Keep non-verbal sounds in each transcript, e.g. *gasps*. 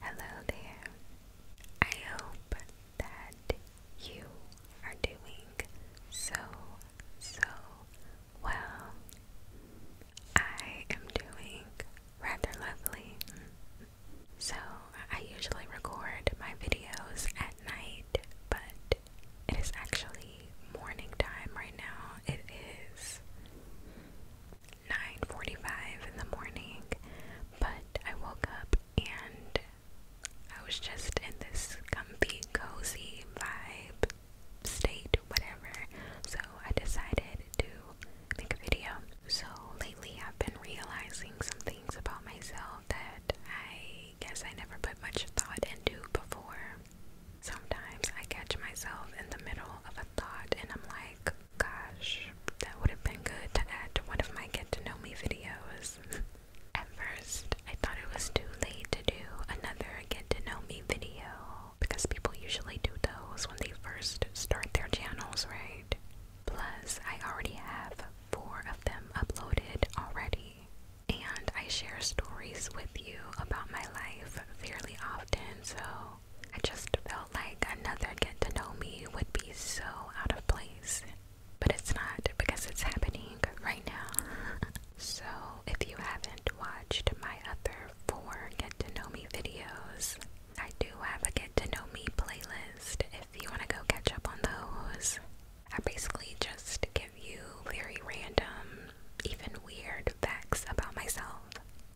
Hello there. I hope that you are doing so, so well. I am doing rather lovely. So, I usually record my videos at night, but it is actually morning time right now. It is 9:45 in the morning, but I woke up and I was just in this comfy, cozy vibe state, whatever. So I decided to make a video. So lately I've been realizing some things about myself that I guess I never put much thought into before. Sometimes I catch myself in the middle of a thought and I'm like, gosh, that would have been good to add to one of my get to know me videos. *laughs* At first, I thought it was too late to do another get to know me video because people usually do those when they first start their channels, right? Plus, I already have four of them uploaded already, and I share stories with you about my life fairly often, so I just felt like another get to know me would be so out of place. But it's not because it's happening right now. *laughs* so, if you haven't watched my other four get to know me videos, I do have a get to know me playlist if you want to go catch up on those. I basically just give you very random, even weird facts about myself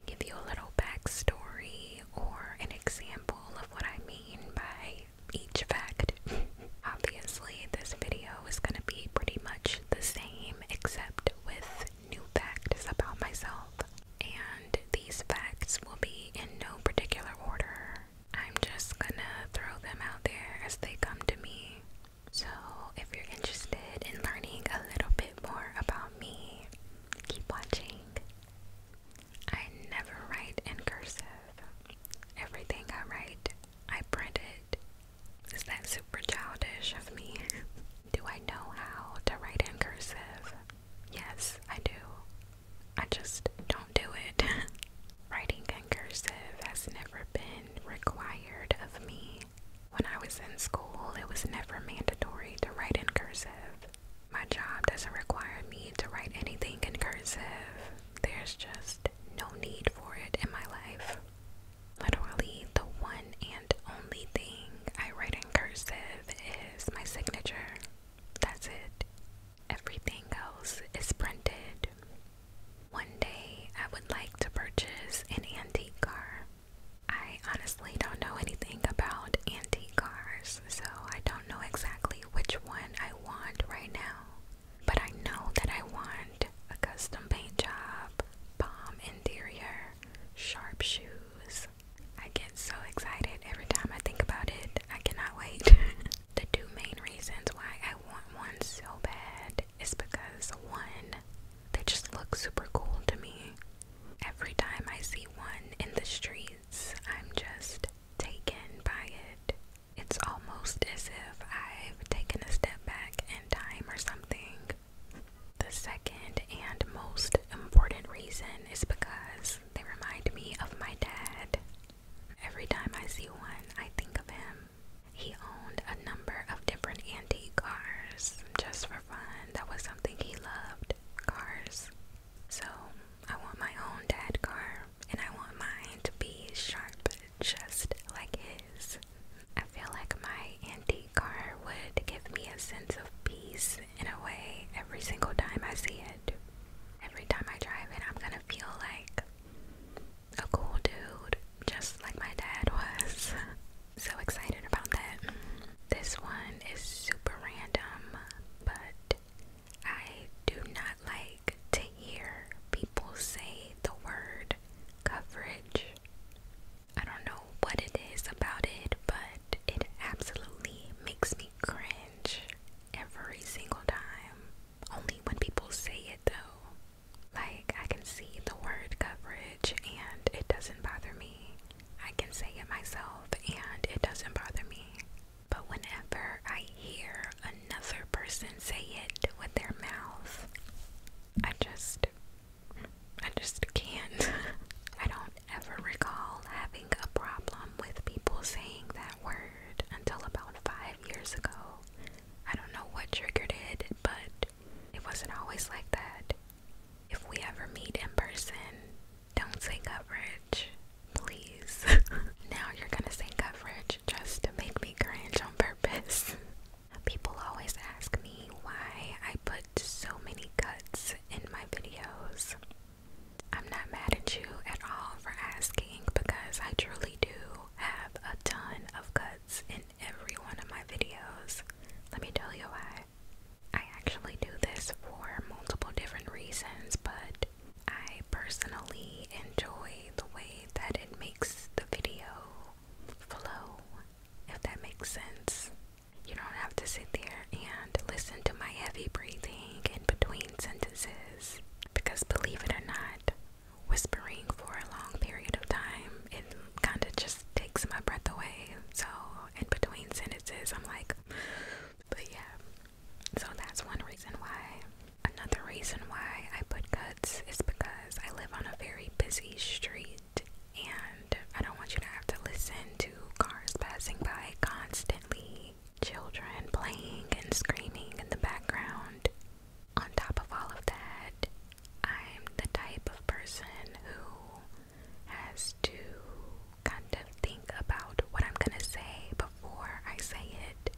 give you a little backstory or an example of what I mean by each fact. *laughs* Obviously, this video is going to be pretty much the same except with new facts about myself, and these facts will be in no particular order. I'm just gonna throw them out there as they come to me. So, if you're interested in learning a little bit more about me, Keep watching. I never write in cursive. Everything I write, I print it. Is that super childish of me? *laughs* do I know how to write in cursive? Yes, I do. I just don't do it. *laughs* Writing in cursive has never been required of me when I was in school, it was never mandatory to write in cursive. My job doesn't require me to write anything in cursive. There's just no need for it in my life. Literally, the one and only thing I write in cursive is my signature. That's it. Everything else is printed. One day, I would like to purchase an antique car. I honestly don't know anything about antique cars, so I don't know exactly which one I want right now. But I know that I want a custom paint job, bomb interior, sharp shoes. I get so excited every time I think about it. I cannot wait. *laughs* the two main reasons why I want one so bad is because one, they just look super cool to me. Every time I see one in the streets, I'm just taken by it. It's almost as if I've taken a step back in time or something. The second and most important reason is because they remind me of my dad. Every time I see one, I think of him. He owned a number of different antique cars just for that was something he loved cars. So I want my own dad car, and I want mine to be sharp, just like his. I feel like my antique car would give me a sense of peace in a way every single time I see it. Every time I drive it, I'm gonna feel like a cool dude, just like my dad was. *laughs* so excited about that. This one is super random, but I do not like to hear people say the word coverage. I don't know what it is about it, but it absolutely makes me cringe every single time. Only when people say it though. Like, I can see the word coverage and it doesn't bother me. I can say it myself and it doesn't bother me. But whenever I hear another person say it with their mouth, I just I just can't. *laughs* I don't ever recall having a problem with people saying that word until about five years ago. I don't know what triggered it, but it wasn't always like that. If we ever meet in person, don't say coverage, please. *laughs* now you're gonna say coverage just to make me cringe on purpose. *laughs* People always ask me why I put so many cuts in my videos. I'm not mad at you at all for asking because I truly do have a ton of cuts in every one of my videos. Let me tell you why. I actually do this for multiple different reasons, but I personally enjoy the way that it makes the video flow, if that makes sense. You don't have to sit there and listen to my heavy breathing in between sentences because, believe it or not, whispering for a long period of time, it kind of just takes my breath away. So in between sentences. I'm like, but yeah. So that's one reason why. Another reason why I put cuts is because I live on a very busy street and I don't want you to have to listen to cars passing by constantly, children playing and screaming in the background. On top of all of that, I'm the type of person who has to kind of think about what I'm gonna say before I say it.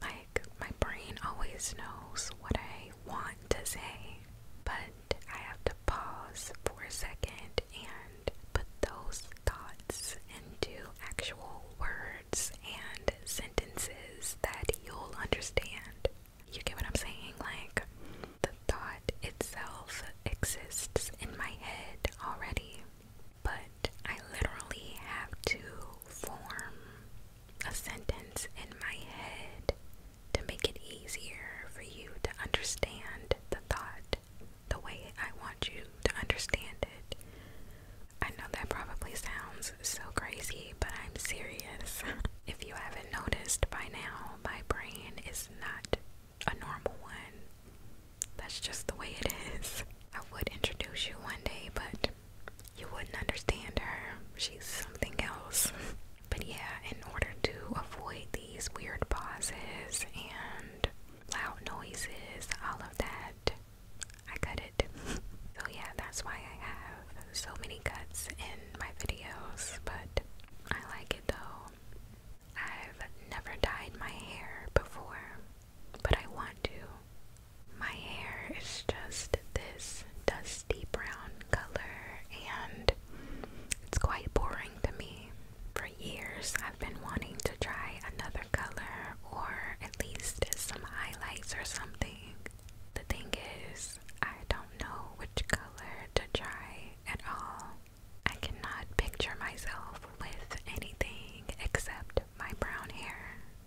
Like, my brain always knows what I want to say, but I have to pause for a second and put those thoughts into actual words and sentences that you'll understand. You get what I'm saying? Like, the thought itself exists in my head already, but I literally have to form a sentence in my head to make it easier for you to understand the thought the way I want you to understand it. I know that probably sounds so crazy, but I'm serious. *laughs* if you haven't noticed by now, my brain is not a normal one. That's just the way it is. I would introduce you one day, but you wouldn't understand her. She's something else. But yeah, in order to avoid these weird pauses and loud noises, all of that, I cut it. so yeah, that's why I have so many cuts in my videos, but I like it though. I've never dyed my hair before, but I want to. My hair is just this dusty brown color, and it's quite boring to me. For years, I've been wanting to try another color or at least some highlights or something. The thing is, I don't know which color to try at all. I cannot picture myself with anything except my brown hair.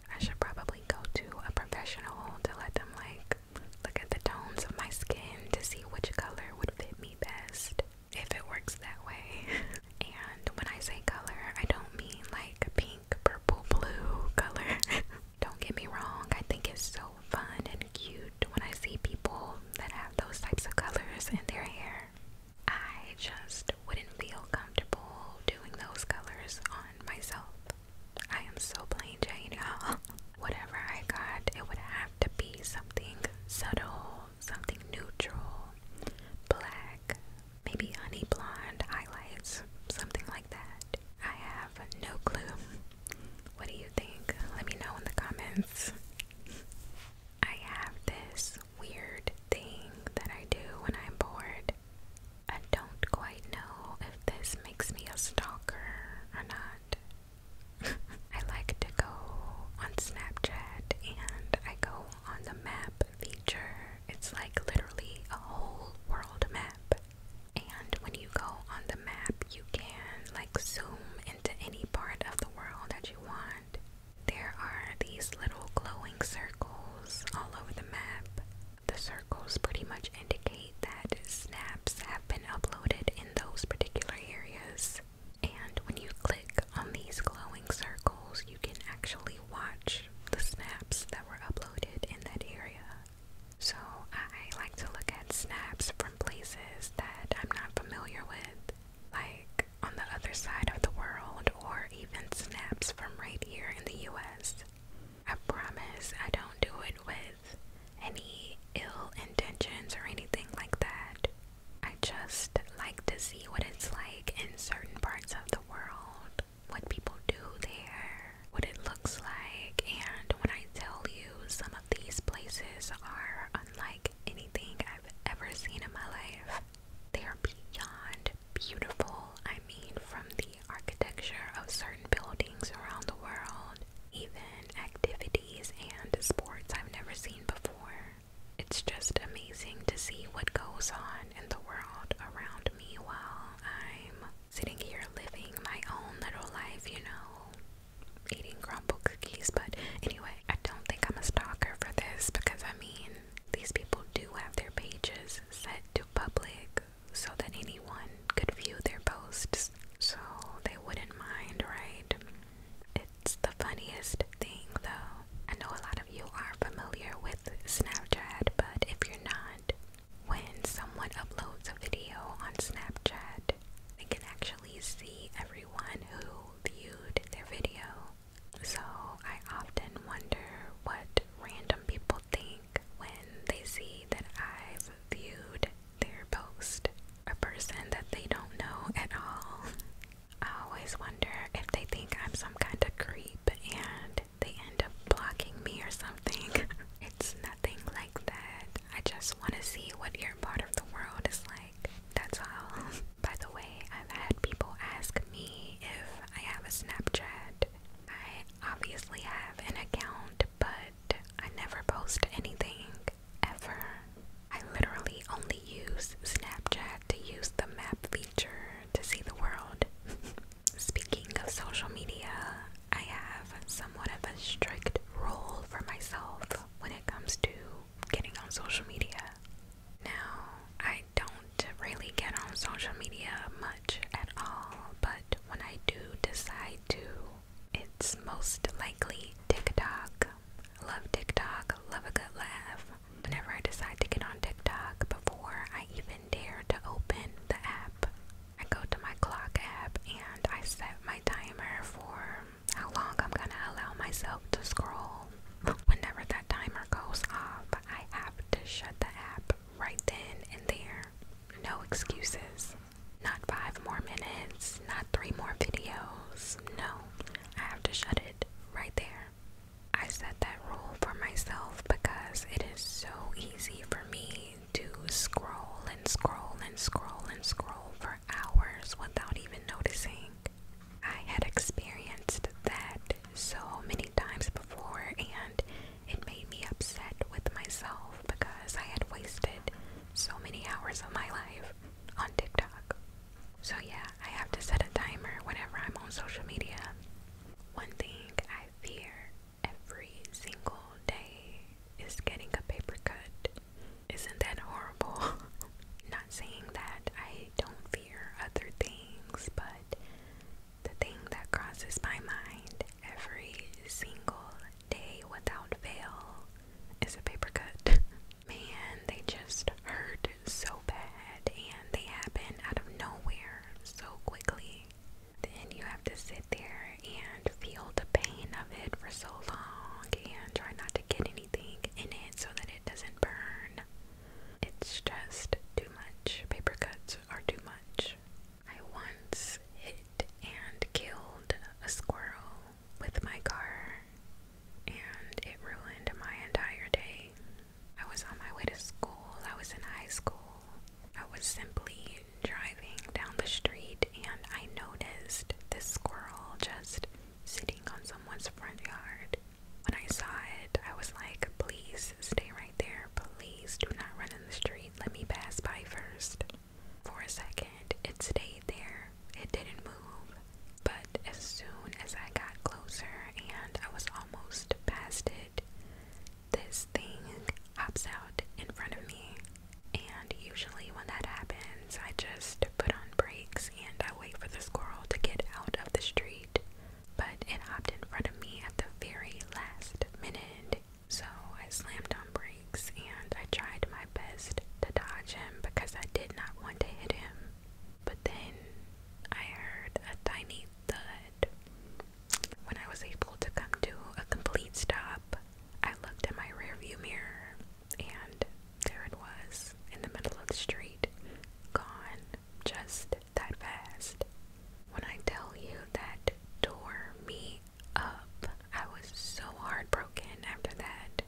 I should probably go to a professional to let them like look at the tones of my skin to see which color would fit me best if it works that way. *laughs* and when I say color, I don't mean like pink, purple, blue color. *laughs* don't get me wrong, I think it's so fun and cute when I see people that have those types of colors in their hair. I just wouldn't feel comfortable doing those colors on myself. I am so plain Jane, you *laughs* Whatever I got, it would have to be something subtle, something neutral, black, maybe honey blonde highlights, something like that. I have no clue. What do you think? Let me know in the comments. *laughs* I have this weird thing that I do when I'm bored. I don't quite know if this makes me a stalker or not. *laughs* I like to go on Snapchat and I go on the map feature. It's like literally a whole world map. And when you go on the map, you can like zoom into any part of the world that you want. There are these little glowing circles all over the map. The circles pretty much indicate that snaps have been uploaded in those particular areas. And when you click on these glowing circles, you can actually watch the snaps that were uploaded in that area. So I like to look at snaps from places that I'm not familiar with. Like, on the other side of the world or even snaps from right here in the US. I promise I don't do it with any ill intentions or anything like that. I just like to see what it's like in certain parts of the world, what people do there, what it looks like, and when I tell you some of these places are unlike anything I've ever seen in my life. They are beyond beautiful. I mean, from the architecture of certain buildings around the world, even activities and sports I've never seen before. It's just amazing to see what goes on in the world around me while I'm sitting here living my own little life, you know eating crumble cookies. But anyway, I don't think I'm a stalker for this because I mean, these people do have their pages set to public so that anyone could view their posts, so they wouldn't mind, right? It's the funniest thing though. I know a lot of you are familiar with Snapchat, but if you're not, when someone uploads a video on Snapchat, they can actually see everyone who viewed their video. So I often wonder what random people think when they see that I've viewed their post. A person that they don't know at all. I always wonder if they think I'm some kind of creep and they end up blocking me or something. *laughs* it's nothing like that. I just want to see what your part of the world is like. That's all. *laughs* By the way, I've had people ask me if I have a Snapchat. I obviously have an account, but I never post anything ever. I literally only use Snapchat to use the map feature to see the world. *laughs* Speaking of social media, I have somewhat of a strict rule for myself when it comes to getting on social media. Now, I don't really get on social media much at all, but when I do decide to, it's most likely TikTok. Love TikTok, love a good laugh. Whenever I decide to get on TikTok, before I even dare to open the app, I go to my clock app and I set my timer for how long I'm gonna allow myself to scroll. *laughs* Whenever that timer goes off, I have to shut the app right then and there. No excuses. Not five more minutes, not three more videos. No, I have to shut it right there. I set that rule for myself because it is so easy for me to scroll and scroll and scroll and scroll for hours without even noticing. I had experienced that so many times before, and it made me upset with myself because I had wasted so many hours of my life on TikTok. So, yeah, I have to set a timer whenever I'm on social media. One thing I fear every single day is getting a paper cut. Isn't that horrible? *laughs* Not saying that I don't fear other things, but the thing that crosses my mind every single day without fail is a paper cut. *laughs* Man, they just hurt so bad and they happen out of nowhere so quickly. Then you have to sit there and feel the pain of it for so long and try not to get anything in it so that it doesn't burn. It's just too much. Paper cuts are too much. I once hit and killed a squirrel with my car, and it ruined my entire day. I was on my way to school, I was in high school. I was simply driving down the street and I noticed this squirrel just sitting on someone's front yard. When I saw it, I was like, please stay right there. Please do not run in the street. Let me pass by first. For a second, it stayed there. It didn't move. But as soon as I got closer and I was almost past it, this thing hops out in front of me. And usually, when that happens, I just put on brakes and I wait for the squirrel to get out of the street, but it hopped in front of me at the very last minute. So I slammed on brakes and I tried my best to dodge him because I did not want to hit him. But then I heard a tiny thud. When I was able to come to a complete stop, I looked in my rearview mirror and there it was, in the middle of the street, gone just that fast. When I tell you that tore me up, I was so heartbroken after that.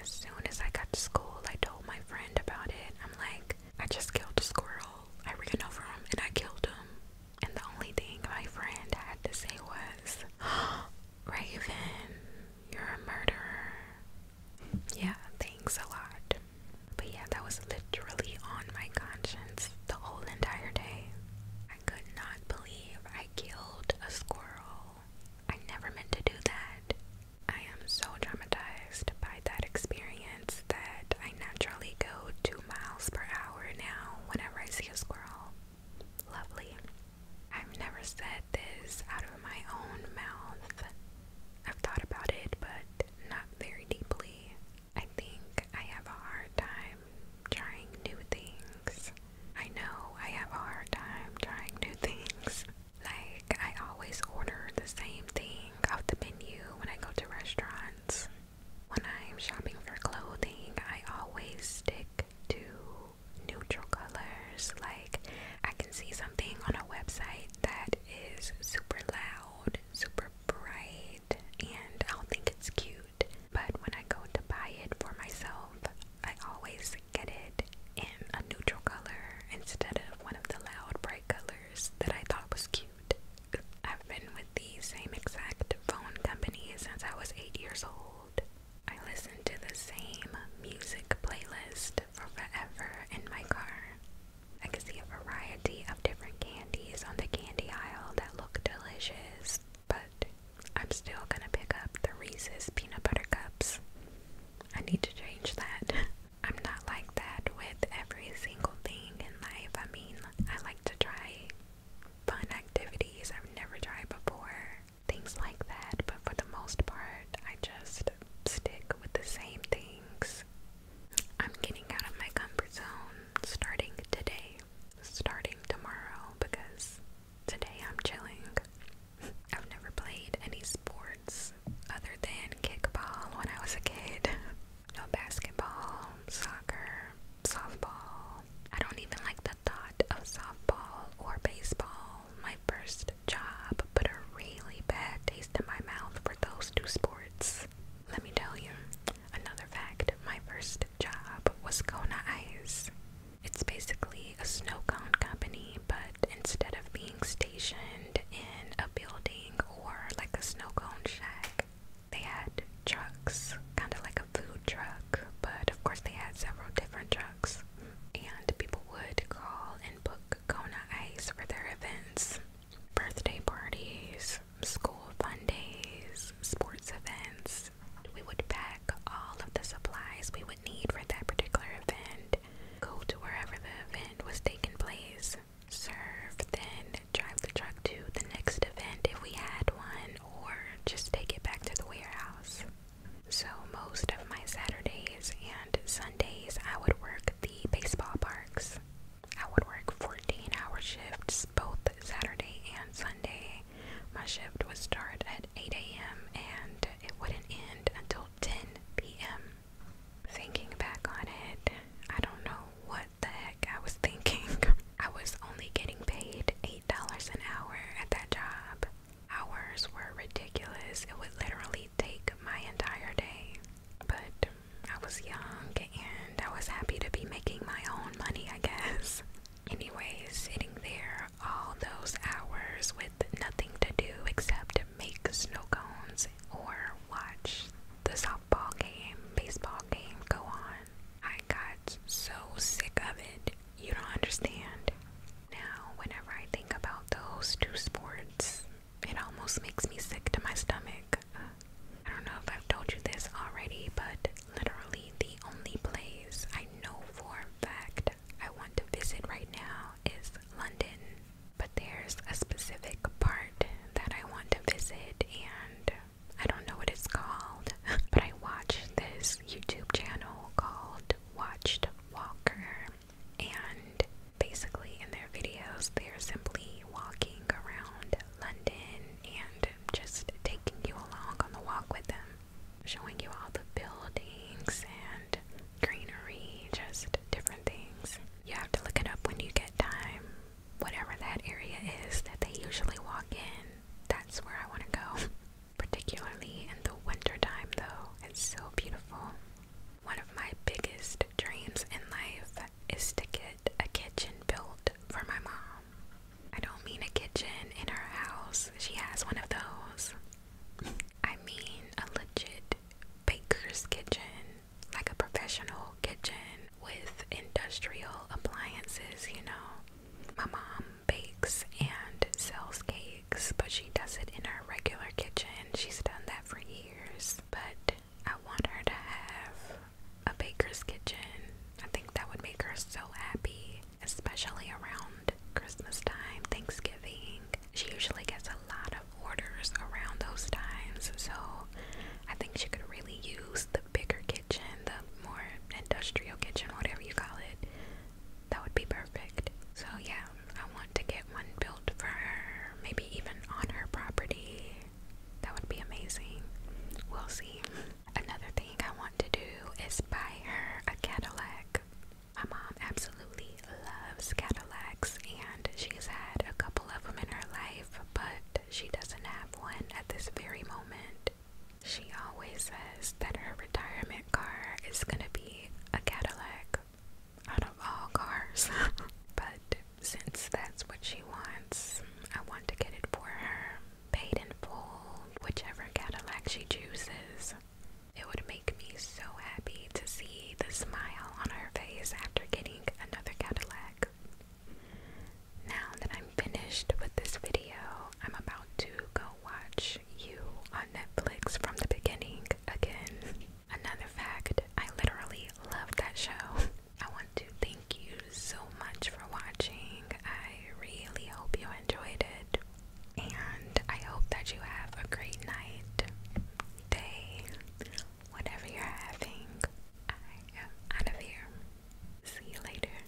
As soon as I got to school, I told my friend about it. I'm like, I just killed a squirrel. I ran over him and I killed him. And the only thing my friend had to say was, *gasps* Raven, you're a murderer. Yeah, thanks a lot. But yeah, that was literally on my conscience the whole entire day. I could not believe I killed a squirrel. I never meant to do that. I am so traumatized by that experience that I naturally go two miles per hour now whenever I see a squirrel. Lovely. I've never said this out of my own mouth. I've thought about it, but not very deeply. I think I have a hard time trying new things. I know I have a hard time trying new things. Like, I always order the same thing off the menu when I go to restaurants. When I'm shopping for clothing, I always stick to neutral colors. Like, I can see something on a website that is super loud, super bright, and I don't think it's cute. But when I go to buy it for myself, I always get it in a neutral color instead of one of the loud, bright colors that I thought was cute. I've been with the same exact phone company since I was 8 years old. I listen to the same music playlist for forever in my car. I could see a variety of different candies on the candy aisle that look delicious, but I'm still gonna pick up the Reese's peanut butter cups. I need to change that. *laughs* I'm not like that with every single thing in life. I mean, I like to try fun activities I've never tried before, things like that, but for the most part, I just stick with the same thing I'm getting out of my comfort zone starting today, starting tomorrow, because today I'm chilling. I've never played any sports other than kickball when I was a kid. No basketball, soccer, softball. I don't even like the thought of softball or baseball my first job, but a really bad taste in my mouth for those two sports. Let me tell you another fact my first job was Kona Ice. It's basically a snow cone company, but instead of being stationed in a building or like a snow cone shack, they had trucks, kind of like a food truck, but of course they had several different trucks. And people would call and book Kona Ice for their events, birthday parties, school fun sports events. We would pack all of the supplies we would need for that particular event, go to wherever the event was taking place, serve, then drive the truck to the next event if we had one, or just take it back to the warehouse. So, most of my Saturdays and Sundays, I would work baseball parks. I would work 14 hour shifts both Saturday and Sunday. My shift would start at 8 a.m. and it wouldn't end until 10 p.m. Thinking back on it, I don't know what the heck I was thinking. *laughs* I was only getting paid $8 an hour at that job. Hours were ridiculous. It would literally take my entire day. But I was young and I was happy to be making my own money, I guess. Anyway, sitting there all those hours with nothing to do except make snow cones or watch the softball game, baseball game go on. I got so sick of it, you don't understand. Now, whenever I think about those two sports, it almost makes me sick to my stomach. I don't know if I've told you this already, but literally the only place I know for fact I want to visit right now is London. But there's a specific part that I want to visit, and I don't know what it's called, *laughs* but I watched this YouTube channel called Watched Walker, and basically in their videos they're simply walking around London and just taking you along on the walk with them, showing you all the buildings and greenery, just different things. You have to look it up when you get time. Whatever that area is that they usually walk in, that's where I want to go. *laughs* Particularly in the wintertime, though, it's so beautiful. One of my biggest dreams in life is to get a kitchen built for my mom. I don't mean a kitchen in her house, she has one of those. I mean a legit baker's kitchen, like a professional kitchen with industrial appliances, you know. My mom bakes and sells cakes, but she does it in her regular kitchen. She's done that for years but I want her to have a baker's kitchen. I think that would make her so happy, especially around Christmas time, Thanksgiving. She usually gets a lot of orders around those times, so I think she could really use the bigger kitchen, the more industrial kitchen, whatever you call it. That would be perfect. So, yeah, I want to get one built for maybe even on her property. That would be amazing. We'll see. Another thing I want to do is buy her a Cadillac. My mom absolutely loves Cadillacs, and she's had a couple of them in her life, but she doesn't have one at this very moment. She always says that her retirement car is gonna be a Cadillac out of all cars. *laughs* but since that's what she wants, I want to get it for her, paid in full, whichever Cadillac she chooses. It would make me so happy to see the smile on her face after getting another Cadillac. Now that I'm finished with this video, I'm about to go watch you on Netflix from the beginning again. Another fact, I literally loved that show. I want to thank you so much for watching. I really hope you enjoyed it. And I hope that you have a great night, day, whatever you're having. I am out of here. See you later.